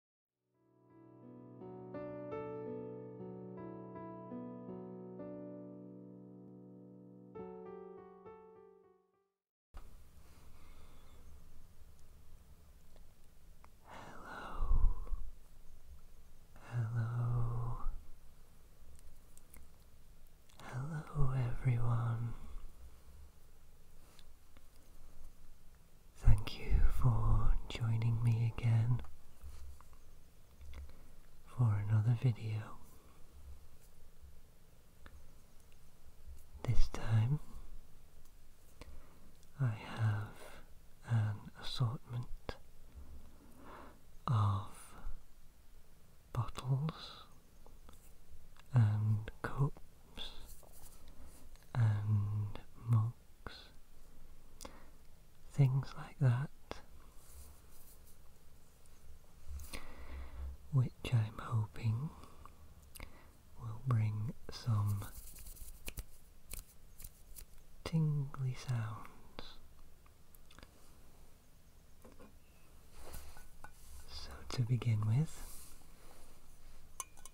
Hello, hello, hello, everyone. Thank you for joining me again for another video. This time I have an assortment of bottles and cups and monks, things like that, which I'm hoping will bring some tingly sounds. So to begin with,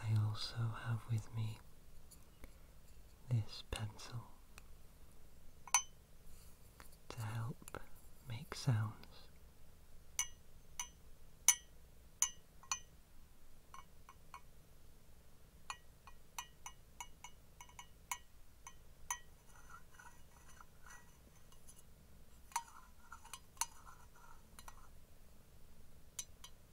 I also have with me this pencil to help make sounds.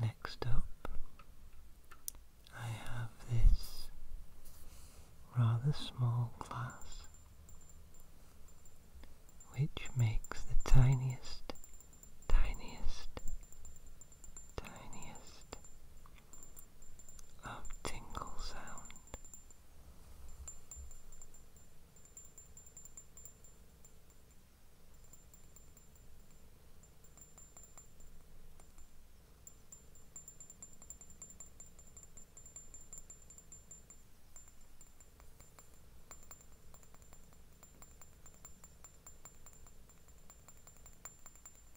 Next up, I have this rather small glass which makes the tiniest, tiniest, tiniest a tingle sound.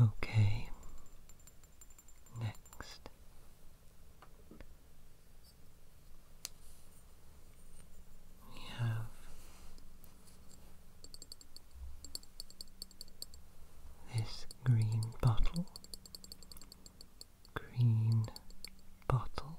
Okay, next. We have this green bottle, green bottle.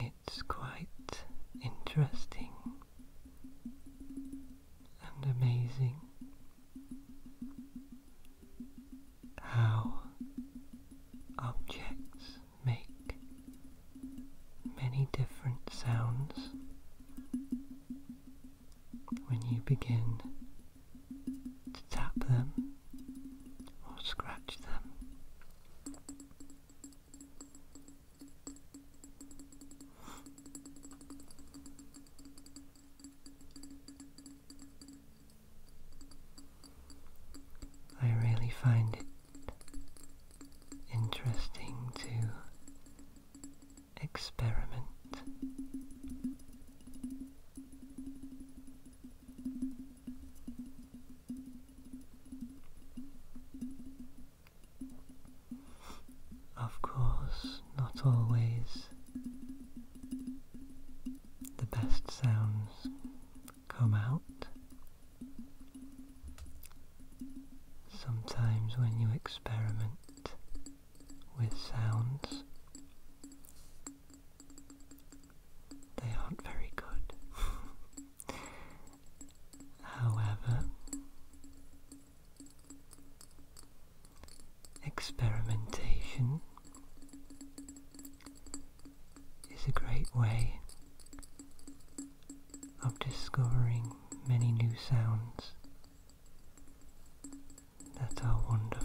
It's quite interesting and amazing how objects make many different sounds when you begin to tap them or scratch them. I really find it interesting to experiment. Of course, not always the best sounds come out. Sometimes when you experiment with sounds, they aren't very good. However, experimentation is a great way of discovering many new sounds that are wonderful.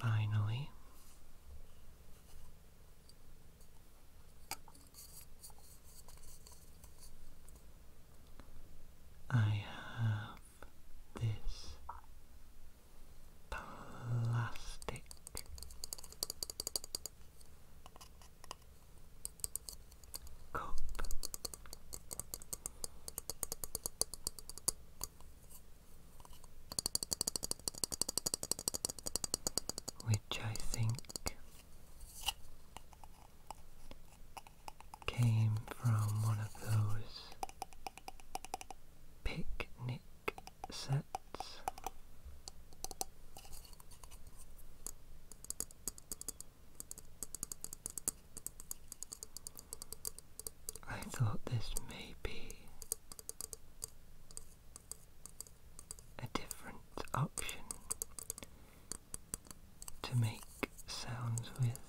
Finally, I have this plastic. Cup which I think came from one of those picnic sets. I thought this may be a different option to make sounds with,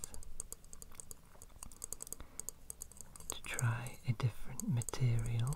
to try a different material.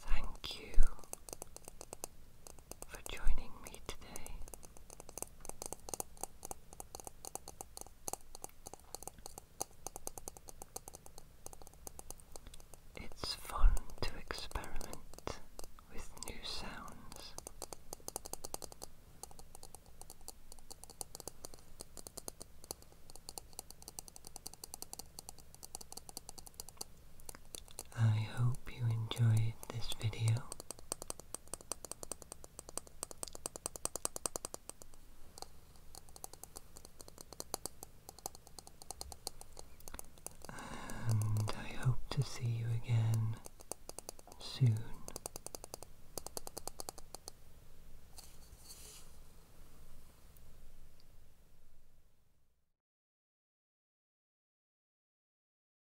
Thank you for joining me today. It's fun to experiment with new sounds. I hope you enjoyed this video and I hope to see you again soon.